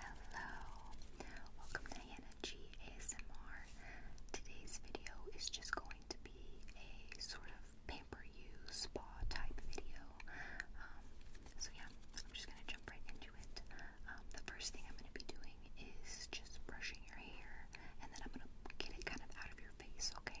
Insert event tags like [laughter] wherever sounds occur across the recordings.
Hello, welcome to Hannah ASMR. Today's video is just going to be a sort of pamper you spa type video. Um, so yeah, I'm just gonna jump right into it. Um, the first thing I'm gonna be doing is just brushing your hair, and then I'm gonna get it kind of out of your face. Okay.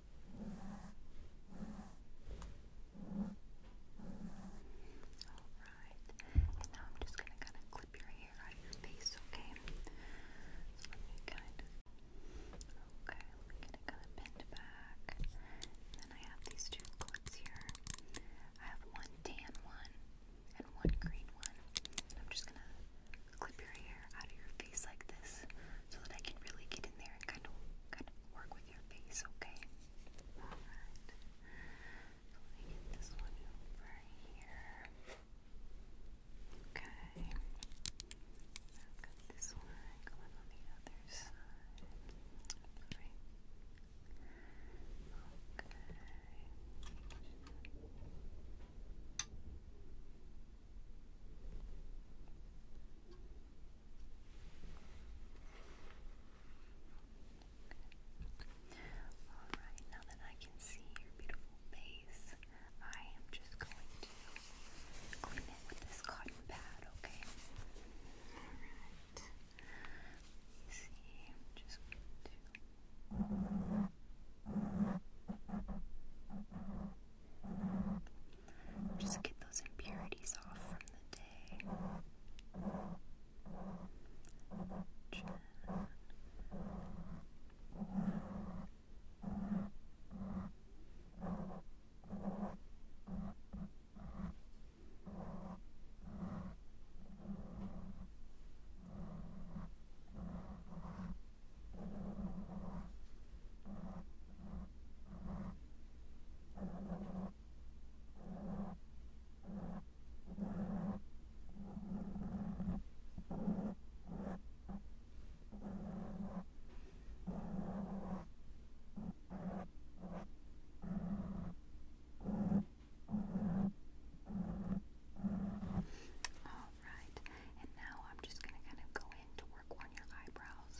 Alright, and now I'm just going to kind of clip your hair out of your face, okay? So let me kind of, okay, get it kind of bent back. then I have these two clips here. I have one tan one and one green one. I'm just going to clip your hair out of your face like this so that I can really get in there and kind of kind of work with your face, okay? Alright. So let get this one over here. Okay. got this one going on the other side. Alright. Okay. Alright, now that I can see your beautiful face, I am just going to clean it with this cotton pad, okay? Alright. You see, I'm just going to. Just get those impurities off from the day. All right, and now I'm just going to kind of go to work on your eyebrows.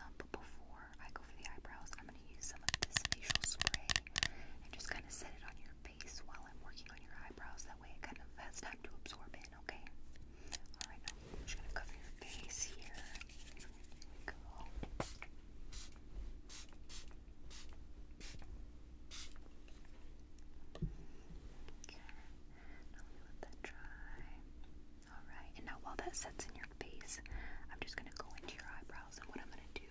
Um, but before I go for the eyebrows, I'm going to use some of this facial spray and just kind of set it on your face while I'm working on your eyebrows. That way it kind of has time to absorb in, okay? Alright, just going to cover your face here. go. Okay, let that dry. Okay, Alright, and now while that sets in your face, I'm just gonna go into your eyebrows, and what I'm gonna do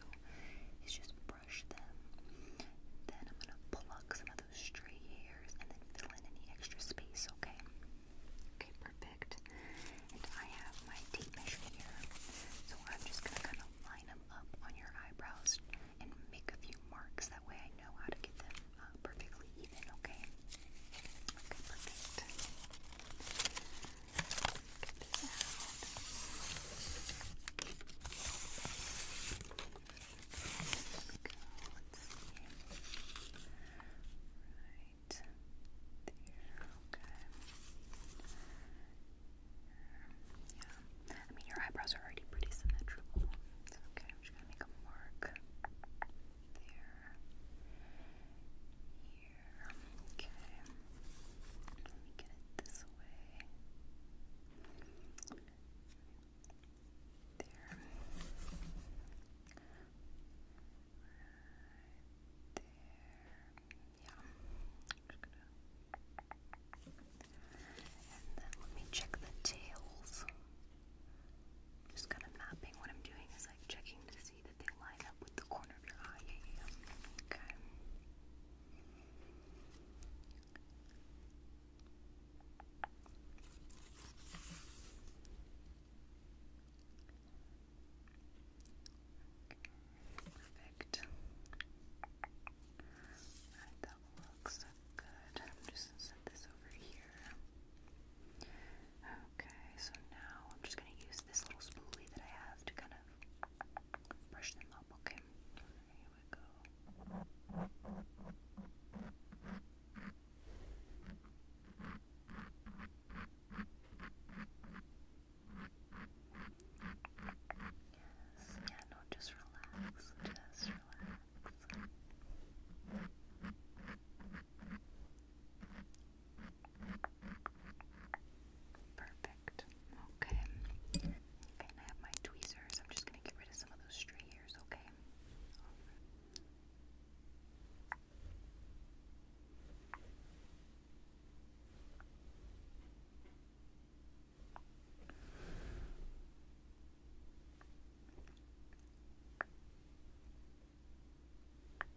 is just brush them. Then I'm gonna pluck some of those stray hairs and then fill in any extra space, okay? Okay, perfect. And I have my tape measure here, so I'm just gonna kind of line them up on your eyebrows and make a few marks. That way I know how to get them uh, perfectly even, okay? perfect. Get There Yeah. I mean, your eyebrows are already pretty symmetrical. okay. I'm just gonna make a mark there. Here. Okay. Let me get it this way. There. Right there. Yeah. And then let me check the tails. Just kind of mapping. What I'm doing is like checking to see that they line up with the corner of your eye. Okay. Perfect. Alright, that looks good. I'm just set this over here. Okay, so now I'm just going to use this little spoolie that I have to kind of brush them up. Okay, here we go. Yes, yeah, no, just relax, just relax. Perfect. Okay. Okay, I have my tweezers. I'm just gonna get rid of some of those stray hairs, Okay. Okay,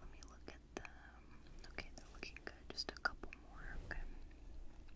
let me look at them. Okay, they're looking good. Just a couple more. Okay.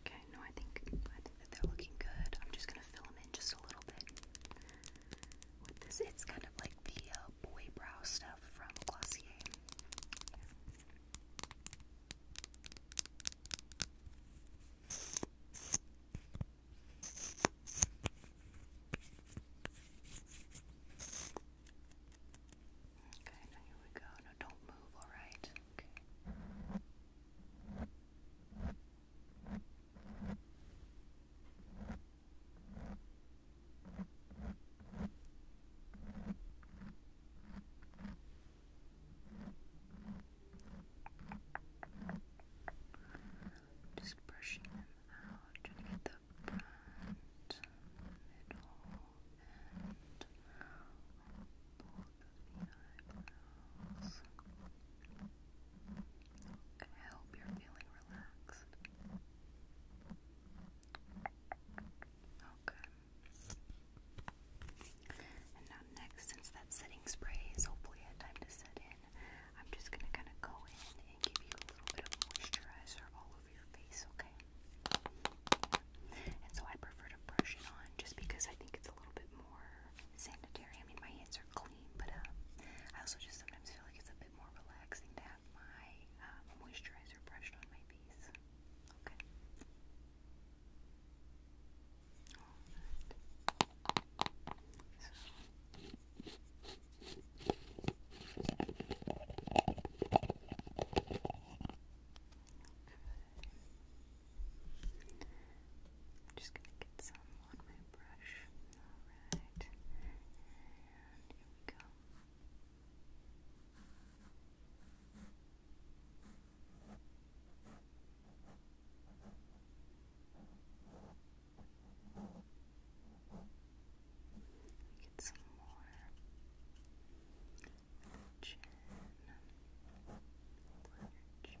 Okay, no, I think I think that they're looking good. I'm just gonna fill them in just a little bit with this. It's kind of like the uh, boy brow stuff from Glossier. Okay, here we go. No, don't move, alright? Okay. Just brushing them out, trying to get the front, middle, and all help you're feeling relaxed. Okay. And now next, since that setting spray is hopefully had time to set in, I'm just gonna kind of go in and give you a little bit of moisturizer all uh, over your face, okay? And so I prefer to brush it on just because I think it's a little bit more sanitary. I mean, my hands are clean, but um, I also just sometimes feel like it's a bit more relaxing to have my uh, moisturizer brushed on my face. Okay. I'm just gonna get some on my brush. Alright. here we go. Get some more chin, chin.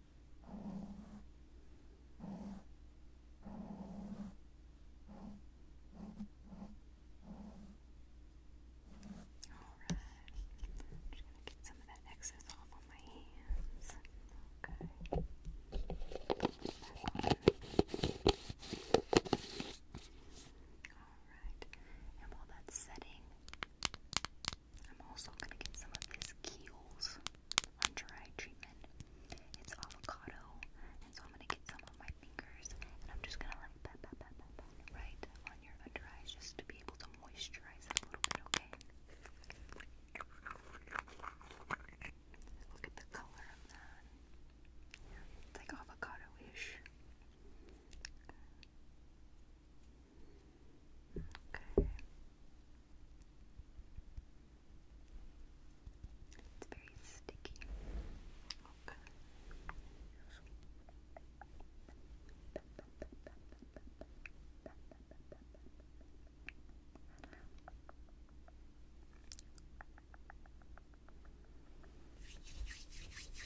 Alright, i just going to get some of that excess off on my hands. Okay. Alright, and while that's setting, I'm also going to get some of this Kiehl's under eye treatment. It's avocado, and so I'm going to get some on my fingers, and I'm just going to like pat, pat, pat, pat, pat, right on your under eyes just to be able to moisturize it a little bit, okay? Look at the color of that. It's like avocado-ish. Okay. Okay. It's very sticky. Okay.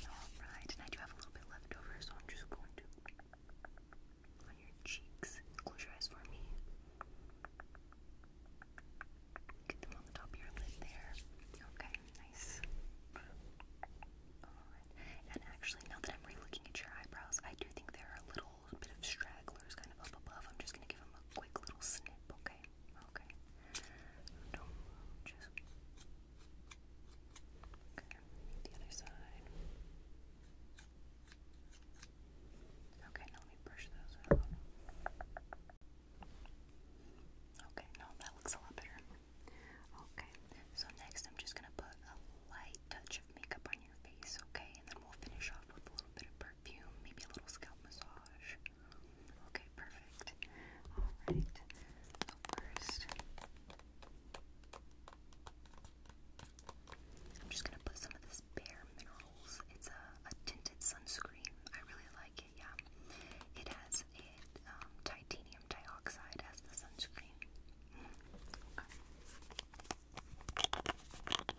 Alright, and I do have a little bit left over, so I'm just going to on your cheeks. Close your eyes for me. Get them on the top of your lid there. Okay, nice. Alright. And actually, now that I'm re at your eyebrows, I do think there are a little bit of stragglers kind of up above. I'm just going to give them a quick little snip, okay? Okay, the other side. Okay, let me brush those out. Okay, no, that looks a lot better. Okay, so next I'm just gonna put a light touch of makeup on your face, okay? And then we'll finish off with a little bit of perfume, maybe a little scalp massage. Okay, perfect. Alright, first, I'm just gonna put some of this Bare Minerals. It's a, a tinted sunscreen. I really like it. Yeah, it has a um, titanium dioxide as the sunscreen. Okay. Okay.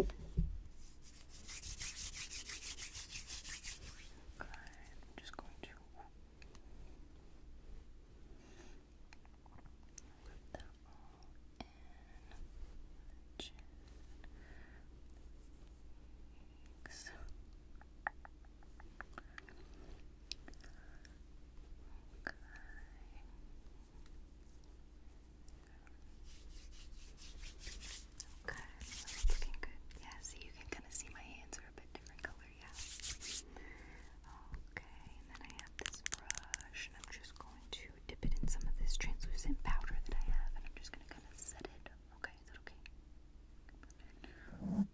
Okay, I'm just going to put that all in the Okay. Okay, looking good. Yeah, see, you can kind of see my hands are a bit different color, yeah. Okay, and then I have this brush, and I'm just going to dip it in some of this translucent powder that I have, and I'm just going to kind of set it. Okay, is that Okay,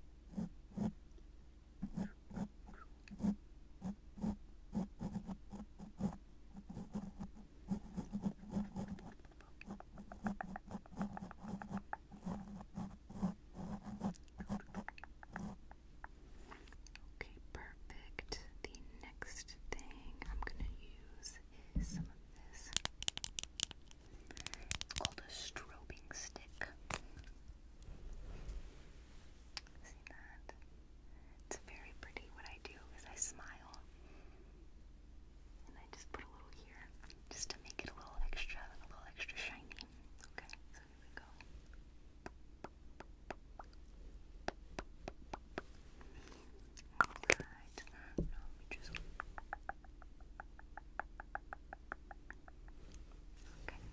Okay, perfect. The next thing I'm gonna use is some of this. called a strobing stick. See that? It's very pretty. What I do is I smile and I just put a little here, just to make it a little extra, a little extra shiny. Okay, so here we go. Alright, now let just... Okay,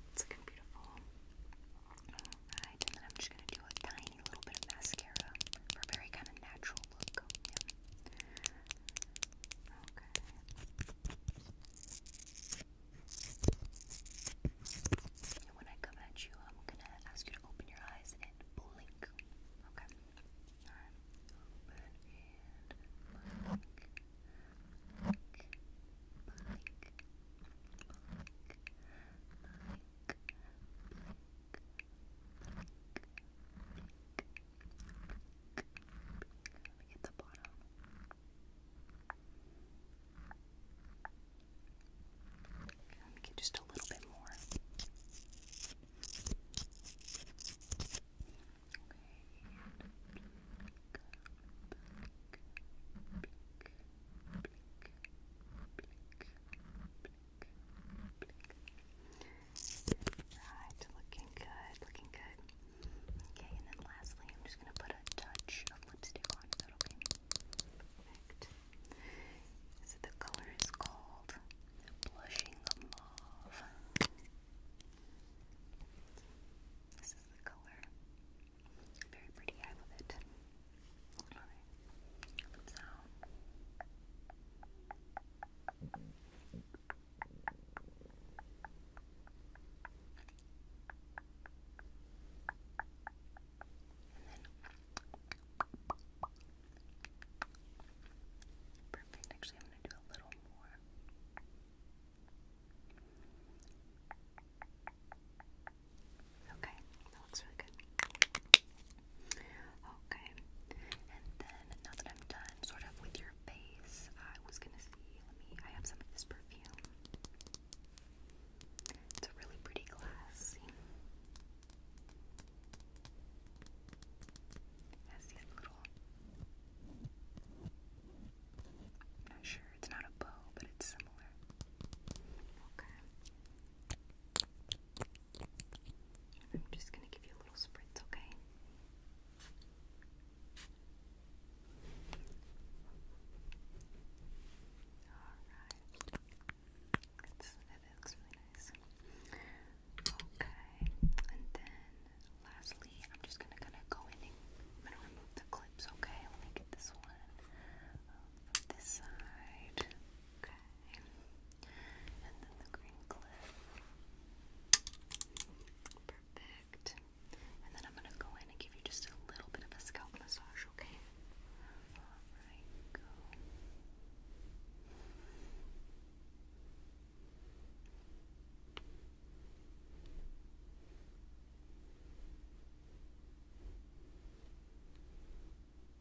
it's looking beautiful. Alright, and then I'm just going to do a tiny little bit of mascara for a very kind of natural look go. Okay. And when I come at you, I'm gonna ask you to open your eyes and blink. Okay. Blink. Blink. Blink. Blink. Blink. At the bottom. Let me get just a little bit more. Okay. Right, looking good, looking good. Okay, and then lastly, I'm just gonna put a touch of lipstick on. Perfect. So the color is called Blushing Mauve. This is the color. Very pretty, I love it. Alright, let's out. Um, Perfect. Actually, I'm going to do a little more. Okay, that looks really good. Okay, and then now that I'm done sort of with your face, I was gonna see, let me, I have some of this perfume. It's a really pretty glass. It has these little, not sure, it's not a bow, but it's similar. Okay. I'm just going to give you a little spritz, okay? Alright. That looks really nice. Okay, and then lastly, I'm just going to kind of go in and I'm going to remove the clips, okay? Let me get this one um, from this side. Okay. And then the green clip. Perfect. And then I'm going to go in and give you just a little bit of a scalp massage, okay? Alright, go.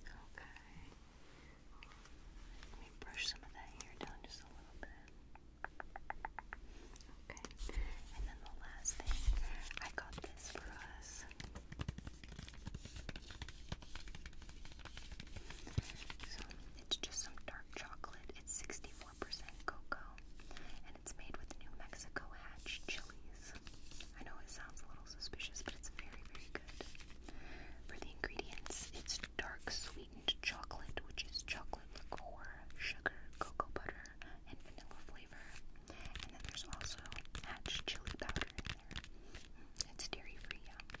Okay. Let me brush some of that hair down just a little bit. Okay. And then the last thing, I got this for us. So it's just some dark chocolate. It's 64% cocoa it's made with New Mexico hatch chilies. I know it sounds a little suspicious, but it's very, very good. For the ingredients, it's dark sweetened chocolate, which is chocolate liquor, sugar, cocoa butter, and vanilla flavor. And then there's also hatch chili powder in there. It's dairy free, Okay.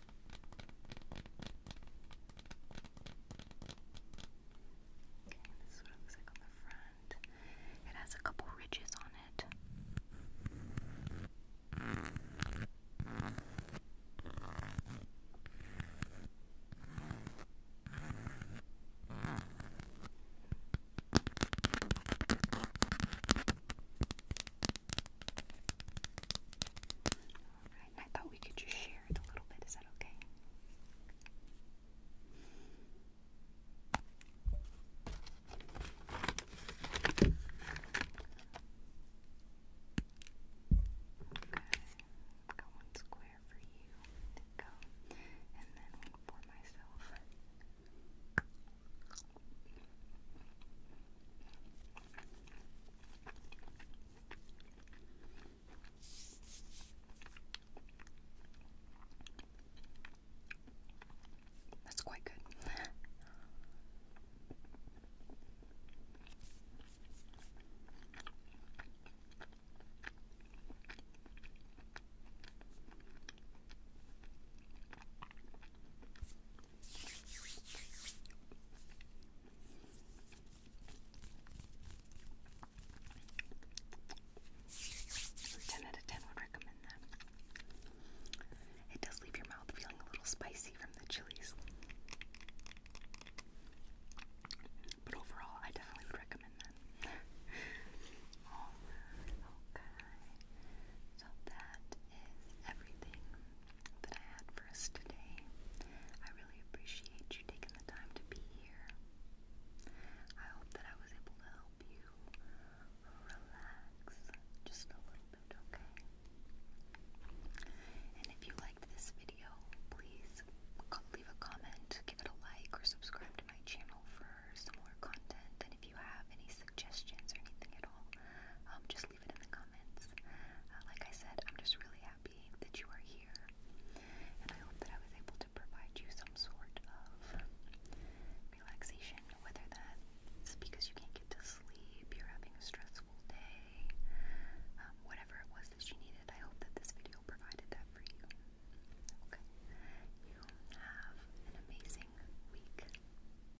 Okay, this is what it looks like on the front. It has a couple ridges on it. Okay, I thought we could just share it a little bit. Is that okay? Okay. Got one square for you. There go. And then for myself. That's quite good. 10 out of 10 would recommend that. It does leave your mouth feeling a little spicy from the chilies. But overall, I definitely would recommend that. [laughs] okay. So that is everything that I had for us today. I really appreciate you taking the time to be here. I hope that I was able to help you relax just a little bit, okay? And if you liked this video, please leave a comment, give it a like, or subscribe to my channel for some more content. And if you have any suggestions or anything at all, um, just please leave it in the comments. Uh, like I said, I'm just really happy that you are here, and I hope that I was able to provide you some sort of relaxation, whether that's because you can't get to sleep, you're having a stressful day, um, whatever it was that you needed. I hope that this video provided that for you. Okay? You have an amazing week.